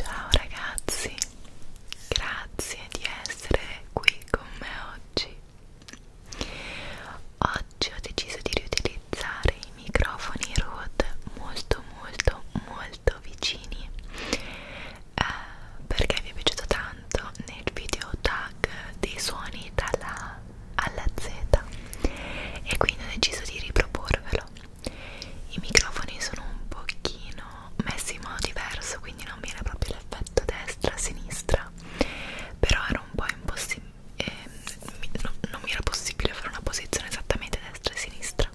Ciao ragazzi, grazie di essere qui con me oggi. Oggi ho deciso di riutilizzare i microfoni Rode molto molto molto molto vicini eh, perché vi è piaciuto tanto nel video tag dei suoni dalla alla Z e quindi ho deciso di riproporvelo i microfoni sono un pochino messi in modo diverso quindi non viene proprio l'effetto destra-sinistra però era un po' impossibile eh, non mi era possibile fare una posizione esattamente destra e sinistra sopra um,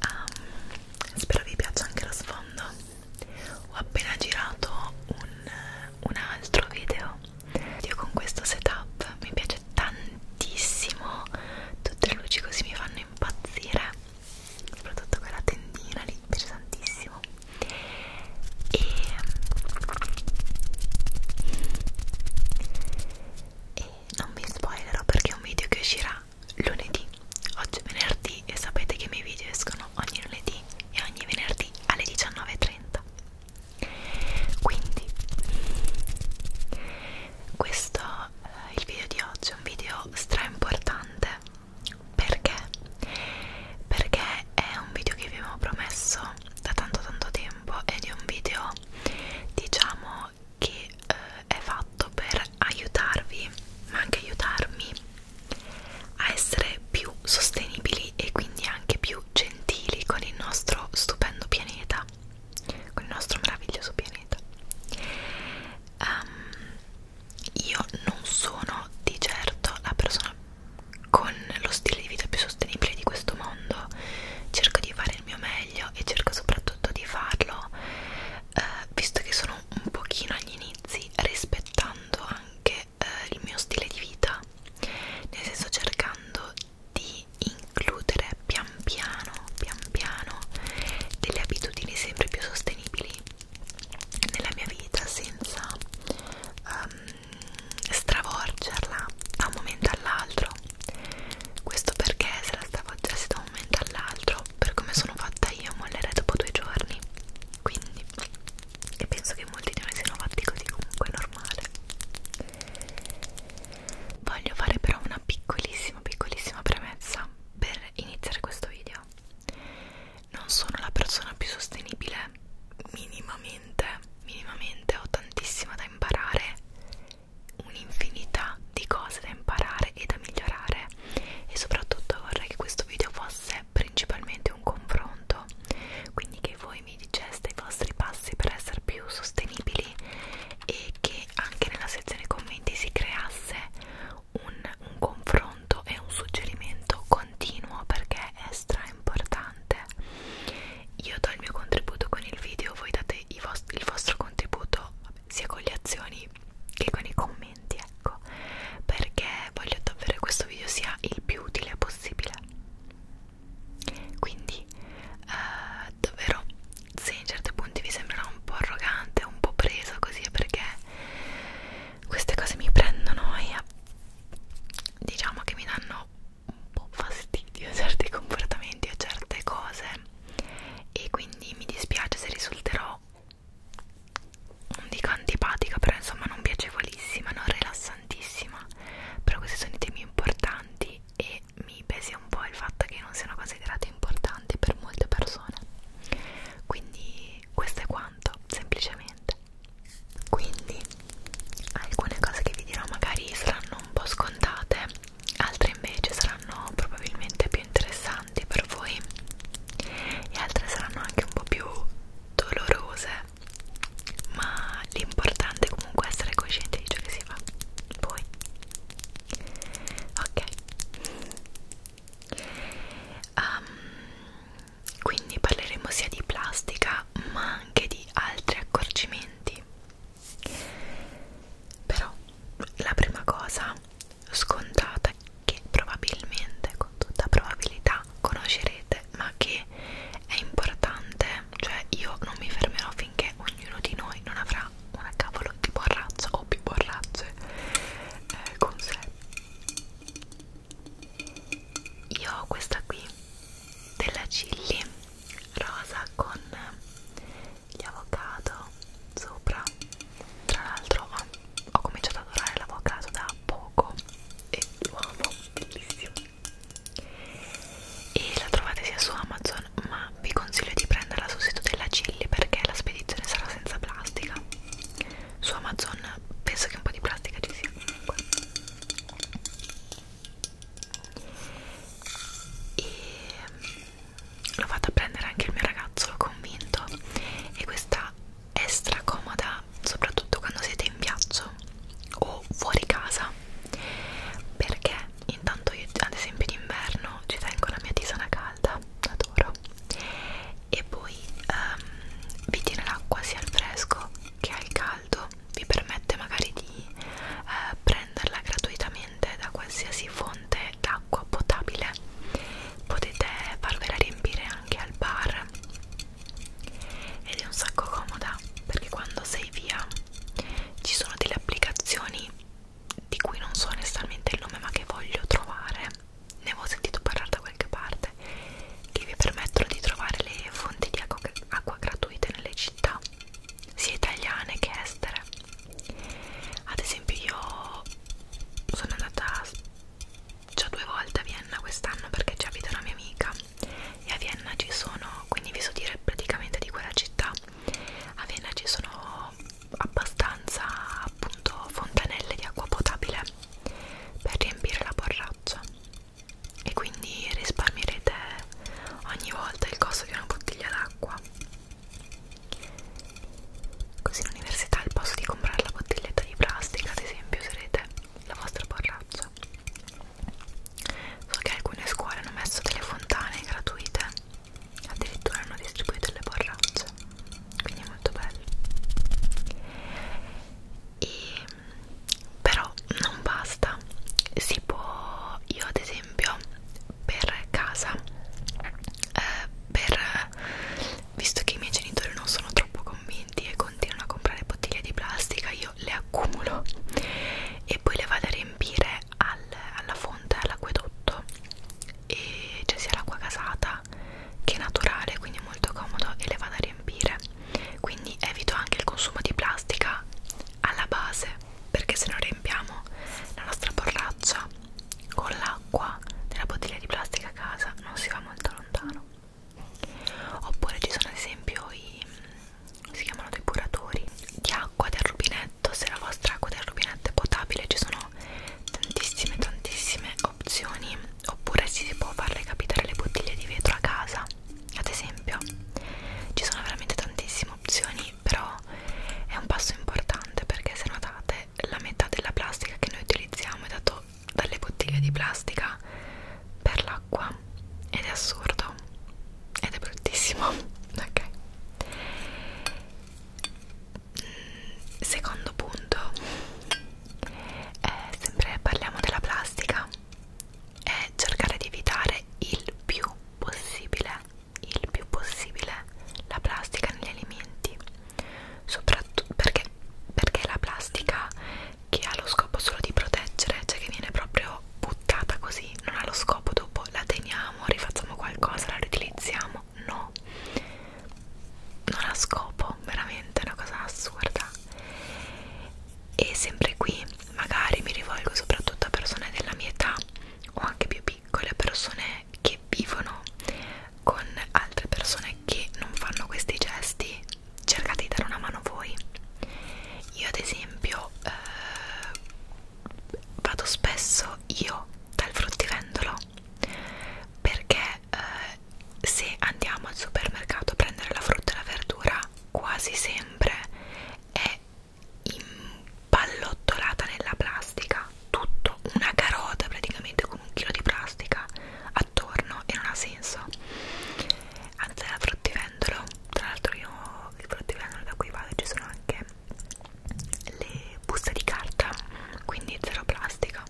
ehm, spero vi piaccia anche lo sfondo ho appena girato un, un altro video io con questo setup mi piace tantissimo tutte le luci così mi fanno impazzire soprattutto quella tendina lì mi piace tantissimo e, e non vi spoilerò perché è un video che uscirà lunedì oggi è venerdì e sapete che i miei video escono ogni lunedì e ogni venerdì alle 19.30 quindi questo eh, il video di oggi è un video stra importante perché perché è un video che vi avevo promesso da tanto tanto tempo ed è un video diciamo video che eh, è fatto per aiutarvi, ma anche aiutarmi a essere più sostenibili e quindi anche più gentili con il nostro stupendo pianeta, con il nostro meraviglioso pianeta. Um, io non sono di certo la persona con lo stile di vita più sostenibile di questo mondo, cerco di fare il mio meglio e cerco soprattutto di farlo eh, visto che sono un pochino agli inizi rispettando anche eh, il mio stile di vita nel senso cercando di includere pian piano pian piano delle abitudini sempre più sostenibili nella mia vita senza um, stravolgerla da un momento all'altro questo perché se la stavo aggiustando da un momento all'altro per come sono fatta io mollerei dopo due giorni quindi e penso che molti di noi siano fatti così comunque è normale voglio fare però una piccolissima piccolissima premessa per iniziare questo video non sono la persona più sostenibile minimamente minimamente ho tantissimo da imparare un'infinità di cose da imparare e da migliorare e soprattutto vorrei che questo video fosse principalmente un confronto quindi che voi mi diceste i vostri passi per essere più sostenibili e che anche nella sezione commenti si creasse un, un confronto e un suggerimento continuo perché è stra importante io do il mio contributo con il video, voi date i vost il vostro contributo vabbè, sia con le azioni che con i commenti, ecco, perché voglio davvero che questo video sia il più utile possibile. Quindi, eh, davvero, se in certi punti vi sembrerà un po' arrogante, un po' preso così, perché queste cose mi prendono e diciamo che mi danno un po' fastidio certi comportamenti o certe cose e quindi mi dispiace se risulterò non dico antipatica però insomma non piacevolissima non rilassantissima però questi sono i temi importanti e mi pesi un po' il fatto che non siano considerati importanti per molte persone quindi questo è quanto semplicemente quindi alcune cose che vi dirò magari saranno un po' scontate altre invece saranno probabilmente più interessanti per voi e altre saranno anche un po' più dolorose ma l'importante è comunque essere coscienti di ciò che si fa poi ok um, quindi parleremo sia di plastica ma anche di altri accorgimenti però la prima cosa scontata che probabilmente con tutta probabilità conoscerete ma che è importante cioè io non mi fermerò finché ognuno di noi non avrà una cavolo di borrazzo o più borrazze eh, con sé io ho questa qui della Cilli rosa con gli avocado sopra tra l'altro ho, ho cominciato ad adorare l'avocado da poco e lo amo bellissimo e la trovate sia su Amazon ma vi consiglio di prenderla sul sito della Chilli perché la spedizione sarà senza plastica su Amazon penso che un po' di plastica ci sia comunque e l'ho fatta prendere anche il mio ragazzo, l'ho convinto e questa è stracomoda soprattutto quando siete in viaggio o fuori casa perché intanto io ad esempio d'inverno ci tengo la mia tisana calda, adoro e poi um, vi tiene l'acqua sia al fresco che al caldo vi permette magari di eh, prenderla gratuitamente da qualsiasi fonte d'acqua potabile potete farvela riempire anche al bar ed è un sacco comoda perché quando sei via ci sono delle applicazioni di cui non so onestamente il nome ma che voglio trovare ne avevo sentito parlare da qualche parte che vi permettono di trovare le fonti di acqua, acqua gratuite nelle città sia italiane che estere ad esempio io sono andata già due volte a Vienna quest'anno perché ci abita una mia amica e a Vienna ci sono quindi vi so dire praticamente di quella città a Vienna ci sono abbastanza appunto fontanelle di acqua potabile per riempire la borraccia e quindi risparmierete ogni volta il costo di una bottiglia d'acqua qua così all'università al posto di comprare la bottiglietta di plastica ad esempio userete la vostra borraccia so che alcune scuole hanno messo delle fontane gratuite addirittura hanno distribuito le borracce quindi è molto bello e, però non basta si può io ad esempio per casa eh, per, visto che i miei genitori non sono troppo convinti e continuano a comprare bottiglie di plastica io le accumulo e poi le vado a riempire al, alla fonte, all'acquedotto e c'è cioè sia l'acqua casata che naturale quindi è molto comodo e le vado a riempire quindi evito anche il consumo di plastica alla base perché se non riempiamo la nostra borraccia con l'acqua della bottiglia di plastica a casa non si va molto lontano oppure ci sono ad esempio i mm, si chiamano depuratori di acqua del rubinetto se la vostra acqua del rubinetto è potabile ci sono tantissime tantissime opzioni oppure si può farle capitare le bottiglie di vetro a casa ad esempio ci sono veramente tantissime opzioni però però è un passo importante perché se notate la metà della plastica che noi utilizziamo è dato dalle bottiglie di plastica per l'acqua ed è assurdo ed è bruttissimo ok mm, secondo punto è eh, sempre parliamo della plastica è cercare di evitare il più possibile il più possibile la plastica negli alimenti soprattutto perché, perché la plastica che ha lo scopo solo di proteggere cioè che viene proprio buttata così non ha lo scopo dopo la teniamo rifacciamo qualcosa la riutilizziamo no non ha scopo veramente è una cosa assurda e sempre qui magari mi rivolgo soprattutto a persone della mia età o anche più piccole persone che vivono con altre persone che non fanno questi gesti cercate di dare una mano voi io ad esempio eh, vado spesso io dal fruttivendolo perché eh, se andiamo al supermercato a prendere la frutta e la verdura quasi sempre è impallottolata nella plastica tutto una carota praticamente con un chilo di plastica attorno e non ha senso andate al fruttivendolo tra l'altro io il fruttivendolo da cui vado ci sono anche le buste di carta quindi zero plastica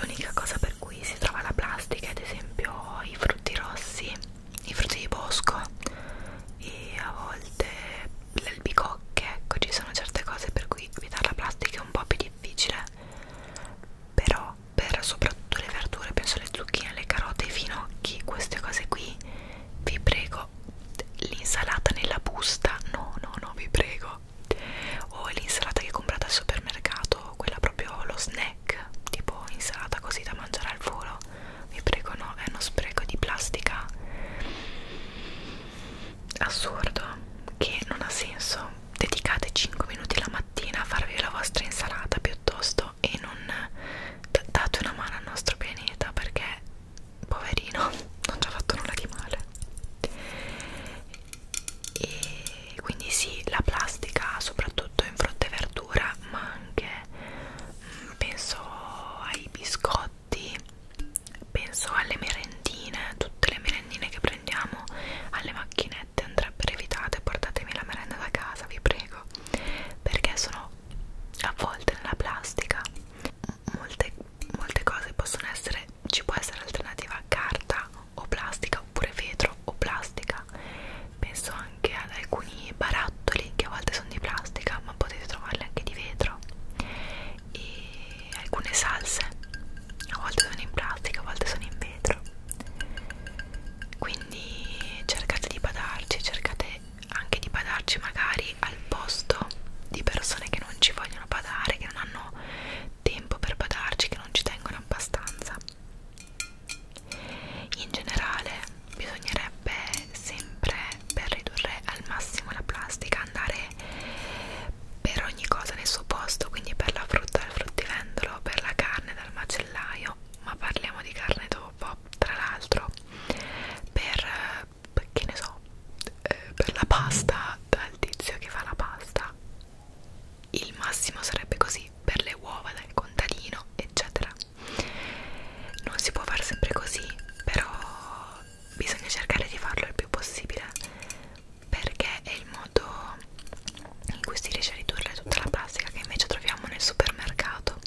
l'unica cosa per cui si trova la plastica ad esempio i frutti rossi i frutti di bosco e a volte le albicocche ecco ci sono certe cose per cui evitare la plastica è un po' più difficile però per soprattutto le verdure penso alle zucchine, le carote, i finocchi queste cose qui vi prego l'insalata nella busta no no no vi prego o l'insalata che comprate al supermercato quella proprio lo snack tipo insalata così da mangiare al volo vi prego no, è uno spreco di plastica assurdo che non ha senso dedicate 5 minuti la mattina a farvi la vostra insalata piuttosto e non date una mano al nostro pianeta perché poverino non ci ha fatto nulla di male e quindi sì la plastica soprattutto in frutta e verdura ma anche penso ai biscotti, penso alle merendine, tutte le merendine che prendiamo alle macchinette andrebbero evitate, portatemi la merenda da casa, vi prego, perché sono avvolte nella plastica. Molte, molte cose possono essere, ci può essere alternativa a carta o plastica oppure vetro o plastica penso anche ad alcuni barattoli che a volte sono di plastica ma potete trovarli anche di vetro e alcune salse a volte sono in plastica a volte sono in vetro quindi cercate di badarci cercate anche di badarci magari al posto di persone che non ci vogliono badare che non hanno tempo per badarci che non ci tengono abbastanza in generale bisognerebbe sempre per ridurre al massimo la plastica andare per ogni cosa nel suo posto quindi per la frutta dal fruttivendolo per la carne dal macellaio ma parliamo di carne dopo tra l'altro per che ne so eh, per la pasta dal tizio che fa la pasta il massimo sarebbe così per le uova dal contadino eccetera non si può fare sempre così però bisogna cercare di farlo il più possibile perché è il modo in cui si riesce a ridurre tutta la plastica che invece troviamo nel supermercato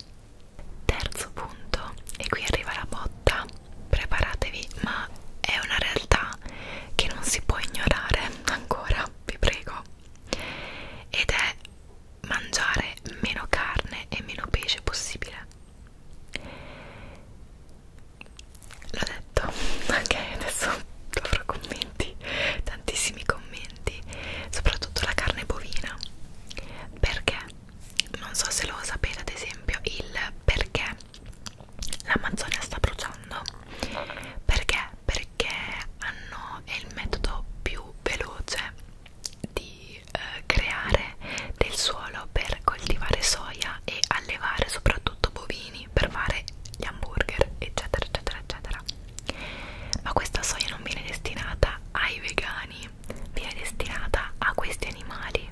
terzo punto e qui arriva la botta preparatevi ma è una realtà che non si può ignorare ancora vi prego ed è mangiare meno carne e meno pesce possibile l'ho detto ok adesso avrò commenti tantissimi commenti soprattutto la carne bovina perché non so se lo sapete ad esempio il perché l'Amazzonia sta bruciando perché perché hanno è il metodo più veloce di eh, creare del suolo per coltivare soia e allevare soprattutto bovini per fare gli hamburger eccetera eccetera eccetera ma questa soia non viene destinata ai vegani viene destinata a questi animali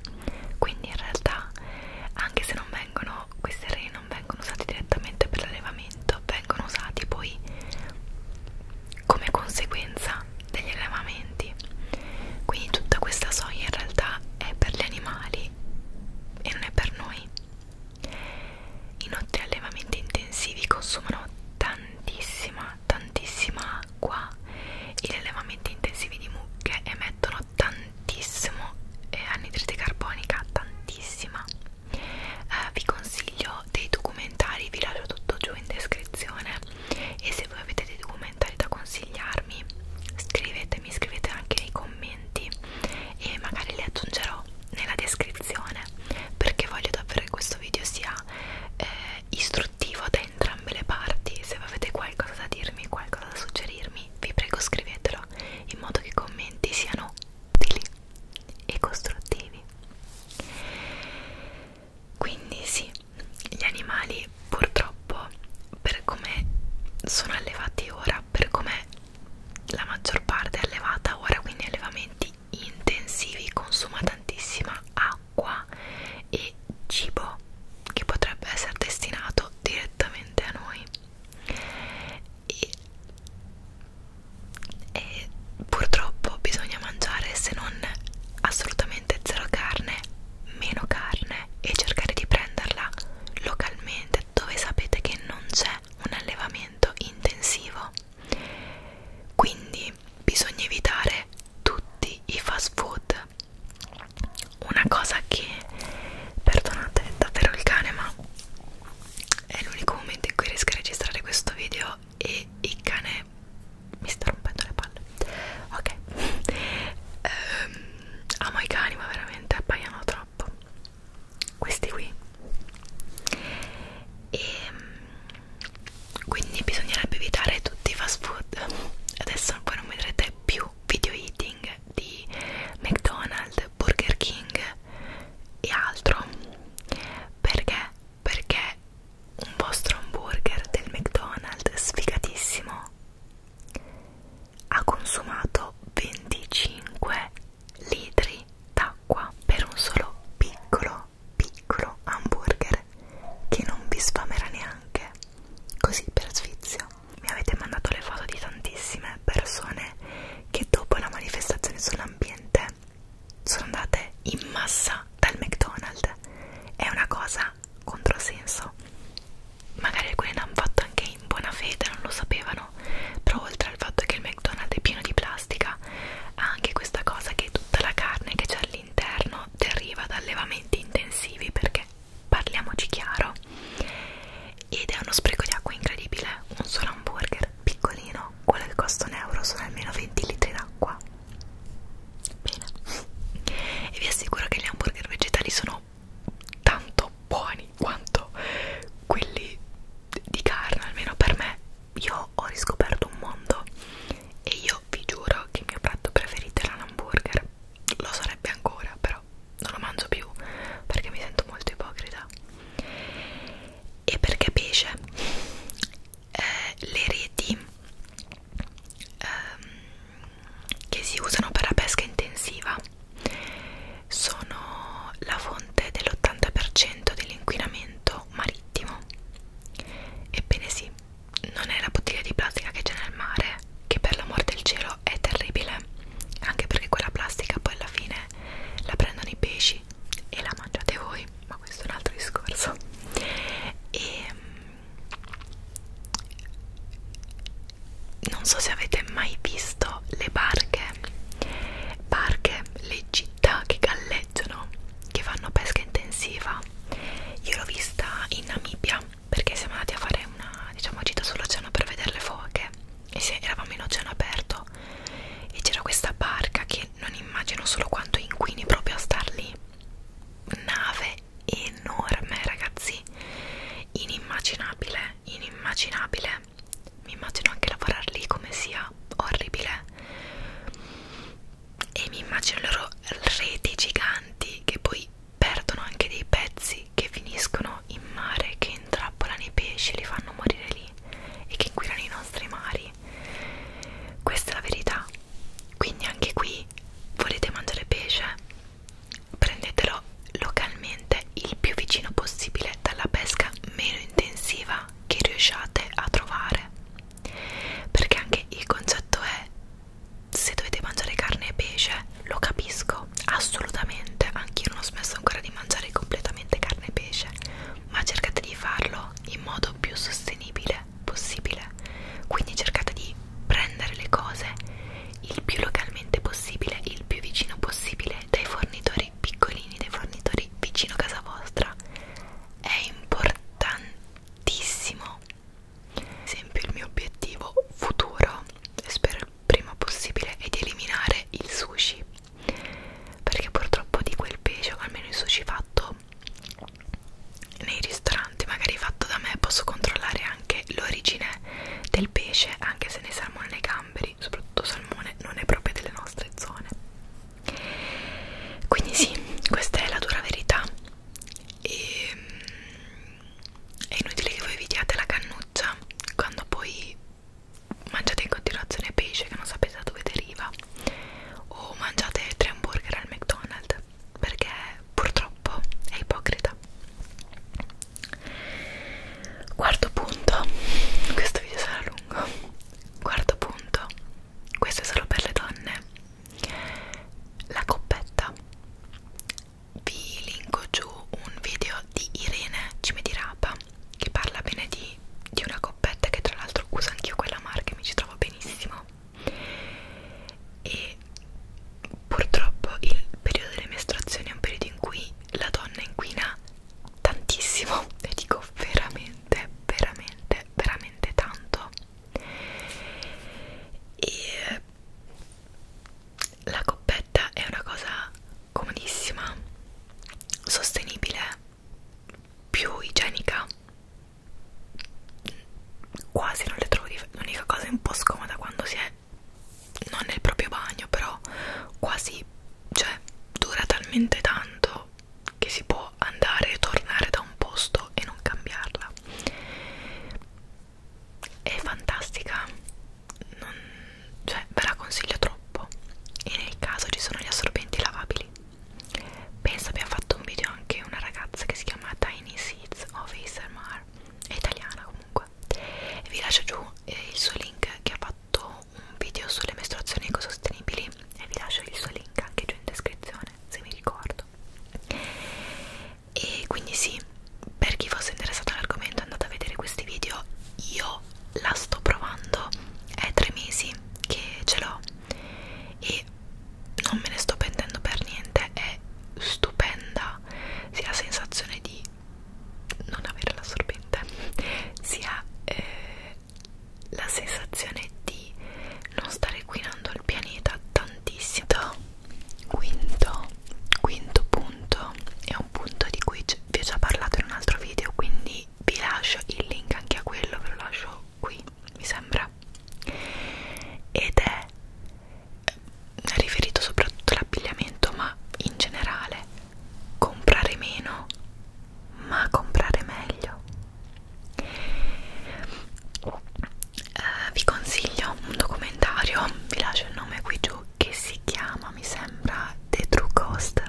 quindi in realtà anche se non vengono questi terreni non vengono usati direttamente per l'allevamento vengono usati poi come conseguenza degli allevamenti quindi tutta questa soia in realtà è per gli animali e non è per noi inoltre allevamenti intensivi consumano tantissima tantissima acqua e gli allevamenti intensivi di mucche emettono tantissimo eh, anidride carbonica tantissima eh, vi consiglio dei documentari vi lascio tutto giù in descrizione e se voi avete dei documentari da consigliarmi scrivetemi, scrivete anche nei commenti e magari li aggiungerò nella descrizione perché voglio davvero che questo video sia eh, istruttivo da entrambe le parti se avete qualcosa da dirmi, qualcosa da suggerirmi vi prego scrivetelo in modo che i commenti siano utili e costruttivi quindi sì, gli animali purtroppo per come sono allevati ora, per come la maggior parte è allevata ora, quindi allevamenti intensivi, consuma tantissima acqua e cibo che potrebbe essere destinato direttamente a noi. E e purtroppo bisogna mangiare se non assolutamente zero carne, meno carne e cercare di prenderla localmente dove sapete che non c'è un allevamento intensivo. Quindi bisogna evitare tutti i fast food. Una cosa che, perdonate davvero il cane, ma è l'unico momento in cui riesco a registrare questo video e il cane mi sta rompendo le palle ok um, amo i cani ma veramente appaiano troppo questi qui e ehm, quindi bisognerebbe evitare tutti i fast food adesso poi non vedrete più video eating di McDonald's, Burger King e altro perché perché un vostro hamburger del McDonald's sfigatissimo ha consumato 25 litri d'acqua per un solo piccolo piccolo hamburger che non vi sfamerà neanche così per sfizio mi avete mandato le foto di tantissime persone che dopo la manifestazione sull'ambiente sono andate in massa dal McDonald's è una cosa controsenso magari alcune l'hanno fatto anche in buona fede non lo sapevano però oltre al fatto che il McDonald's è pieno di plastica ha anche questa cosa che tutta la carne che c'è all'interno deriva da allevamenti intensivi perché parliamoci chiaro ed è uno spreco di acqua incredibile un solo hamburger piccolino quelle che costa un euro sono almeno 20 litri d'acqua bene e vi assicuro che gli hamburger vegetali sono tanto buoni quanto quelli di carne almeno per me io ho riscoperto un mondo e io vi giuro che il mio piatto preferito era l'hamburger lo sarebbe ancora però non lo mangio più perché mi sento molto ipocrita e perché pesce eh, le reti ehm, che si usano per la pesca intensiva sono la fonte dell'80% dell'inquinamento marittimo. Ebbene sì, non è la bottiglia di plastica che c'è nel mare, che per l'amor del cielo è terribile, anche perché quella plastica poi alla fine la prendono i pesci e la mangiate voi ma questo è un altro discorso e mm, non so se avete mai visto le barche barche, le città che galleggiano che fanno pesca intensiva io l'ho vista in Namibia perché siamo andati a fare una diciamo gita sull'oceano per vedere le foche e se eravamo in oceano aperto e c'era questa barca che non immagino solo quanto inquini proprio a star lì nave enorme ragazzi inimmaginabile inimmaginabile mi immagino anche lavorare lì come sia orribile e mi immagino le loro reti giganti che poi perdono anche dei pezzi che finiscono in mare che intrappolano i pesci li fanno morire lì e che inquinano i nostri mari questa è la verità quindi anche qui volete mangiare pesce prendetelo localmente il più vicino possibile dalla pesca meno intensiva che riusciate a trovare perché anche il concetto è se dovete mangiare carne e pesce lo capisco assolutamente anch'io non ho smesso ancora di mangiare completamente carne e pesce ma cercate di farlo in modo più sostenibile facile possibile quindi cercate di prendere le cose il più localmente possibile il più vicino possibile dai fornitori piccolini dai fornitori vicino a casa vostra è importantissimo ad esempio il mio obiettivo futuro e spero il prima possibile è di eliminare il sushi perché purtroppo di quel pesce almeno il sushi fatto nei ristoranti magari fatto da me posso controllare anche l'origine del pesce anche se nei salmone nei gamberi soprattutto salmone non è proprio delle nostre zone quindi sì questa è la dura verità e ehm, è inutile che voi vi diate la cannuccia quando poi mangiate in continuazione pesce che non sapete da dove deriva o mangiate tre hamburger al McDonald's perché purtroppo è ipocrita quarto punto questo video sarà lungo quarto punto questo è solo per le donne la coppetta vi linko giù un video di Irene Cimedirapa che parla bene di, di una coppetta che tra l'altro uso anch'io quella marca e mi ci trovo benissimo e purtroppo il periodo delle mestruazioni è un periodo in cui la donna inquina tantissimo e dico veramente veramente veramente tanto e la coppetta è una cosa comodissima sostenibile più igienica quasi non le trovo l'unica cosa un po' scomoda quando si è non nel proprio bagno però quasi cioè dura talmente tanto che si può andare e tornare da un posto e non cambiarla è fantastica non, cioè ve la consiglio troppo e nel caso ci sono gli assorbenti lavabili penso abbiamo fatto un video anche una ragazza che si chiama Tiny Seeds of ASMR è italiana comunque e vi lascio giù eh, il suo link che ha fatto un video sulle mestruazioni ecosostenibili e vi lascio il suo link anche giù in descrizione se mi ricordo e quindi sì per chi fosse interessato all'argomento andate a vedere questi video io la sto provando è tre mesi che ce l'ho e quindi non me ne sto pentendo per niente è stupenda sia la sensazione di non avere l'assorbente sia eh, la sensazione di non stare inquinando il pianeta tantissimo quinto quinto punto è un punto di cui vi ho già parlato in un altro video quindi vi lascio il link anche a quello ve lo lascio qui mi sembra ed eh, è riferito soprattutto all'abbigliamento ma in generale comprare meno ma comprare meglio eh, vi consiglio un documentario vi lascio il nome qui giù che si chiama mi sembra The True Cost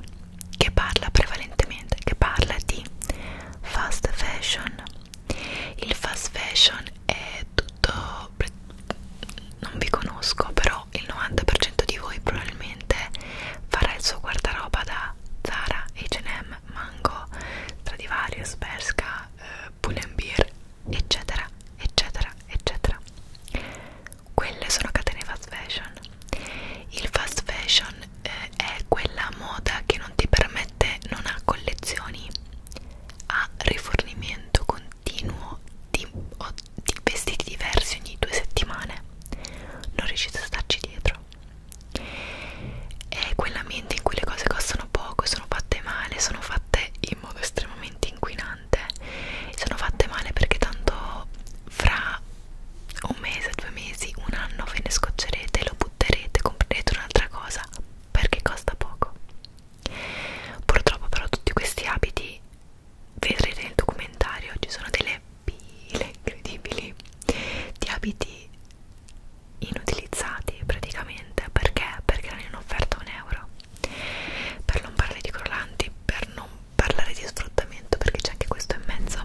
che parla prevalentemente che parla di fast fashion il fast fashion è tutto non vi conosco però il 90% di voi probabilmente farà il suo guardaroba da Zara, H&M, Mango, Stradivarius, Berska, eh, Pull&Bear eccetera eccetera eccetera quelle sono catene fast fashion il fast fashion eh, è quella moda che non ti permette, non ha collezioni, ha rifornimento continuo di, o, di vestiti diversi ogni due settimane, non riuscite a starci dietro. È quell'ambiente in cui le cose costano poco, sono fatte male, sono fatte in modo estremamente inquinante, sono fatte male perché tanto fra un mese, due mesi, un anno ve ne scoccerete e lo butterete, comprerete un'altra cosa perché costa poco. Purtroppo però tutti questi abiti, vedrete nel documentario, ci sono delle pile incredibili di abiti inutilizzati praticamente perché? Perché non hanno offerta un euro. Per non parlare di crollanti, per non parlare di sfruttamento perché c'è anche questo in mezzo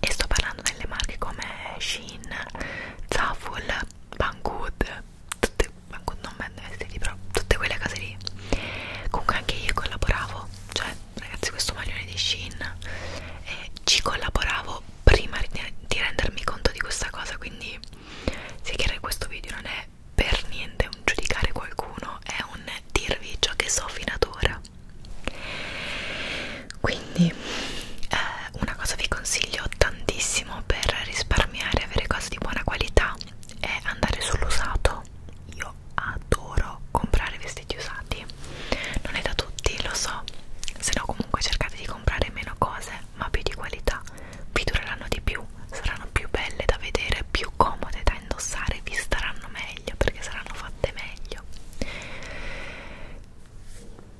e sto parlando delle marche come Shein, Zaful, Banggood tutte, Banggood non vende vestiti però tutte quelle case lì comunque anche io collaboravo cioè ragazzi questo maglione di Shein eh, ci collaboravo prima di rendermi conto di questa cosa quindi sì che questo video non è per niente un giudicare qualcuno è un dirvi ciò che so fino ad ora quindi eh, una cosa vi consiglio tantissimo per risparmiare avere cose di buona qualità è andare sull'usato io adoro comprare vestiti usati non è da tutti lo so se no comunque cercate di comprare meno cose ma più di qualità vi dureranno di più saranno più belle da vedere più comode da indossare vi staranno meglio perché saranno fatte meglio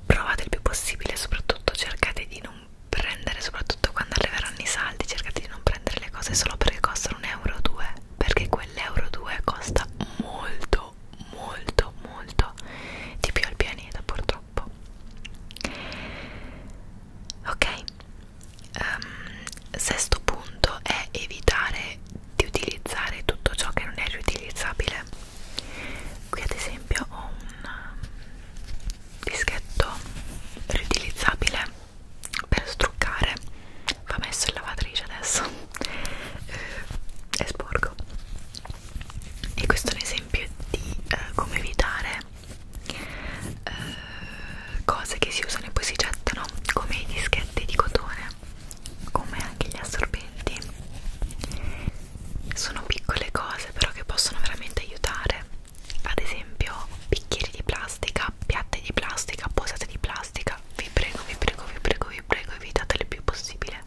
provate il più possibile soprattutto cercate di non prendere soprattutto quando arriveranno i saldi cercate di non prendere le cose solo perché costano un euro o due perché quell'euro 2 costa molto molto molto di più al pianeta purtroppo ok um, sesto punto è evitare di utilizzare tutto ciò che non è riutilizzabile qui ad esempio ho un um, dischetto riutilizzabile per struccare va messo in lavatrice adesso è eh, sporco e questo è un esempio di eh, come evitare eh, cose che si usano e poi si gettano come i dischetti di cotone come anche gli assorbenti sono piccole cose però che possono veramente aiutare ad esempio bicchieri di plastica piatte di plastica posate di plastica vi prego vi prego vi prego vi prego evitate il più possibile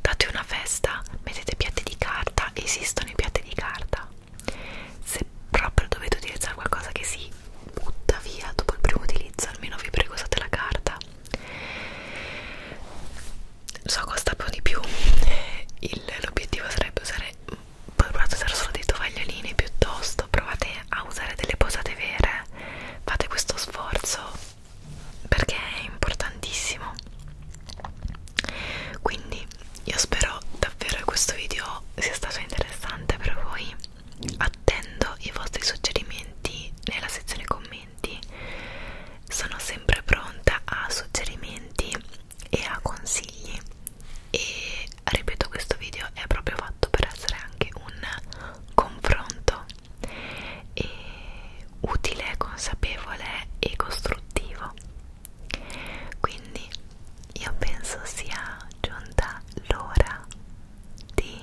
date una festa mettete piatti di carta esistono i piatti di carta se proprio dovete utilizzare qualcosa che si butta via dopo il primo utilizzo almeno vi prego usate la carta so costa più di più l'obiettivo sarebbe usare provate a usare solo dei tovagliolini piuttosto provate a usare delle posate vere fate questo sforzo perché è importantissimo quindi io spero davvero che questo video sia stato interessante per voi attendo i vostri suggerimenti nella sezione commenti commenti. Sono sempre pronta a suggerimenti e a consigli e ripeto questo video è proprio fatto per essere anche un confronto e utile, consapevole e costruttivo. Quindi io penso sia giunta l'ora di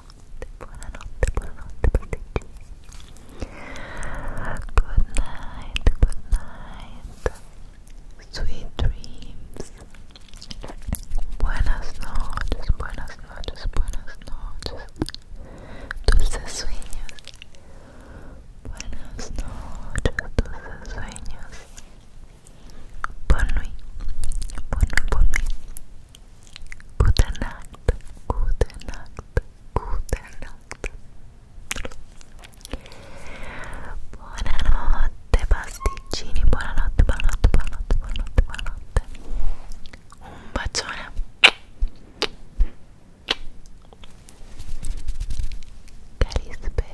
buonanotte, buonanotte, Good night, good night. Sweet dreams. Buenas noches, buenas noches, buenas noches. Dulces sueños. Buenas noches, dulces sueños. Bonne nuit, bonne Gute Nacht, gute Nacht, gute Nacht. Buonanotte pasticcini, buonanotte, buonanotte, buonanotte, buonanotte, buonanotte. Un bacione. Carisper.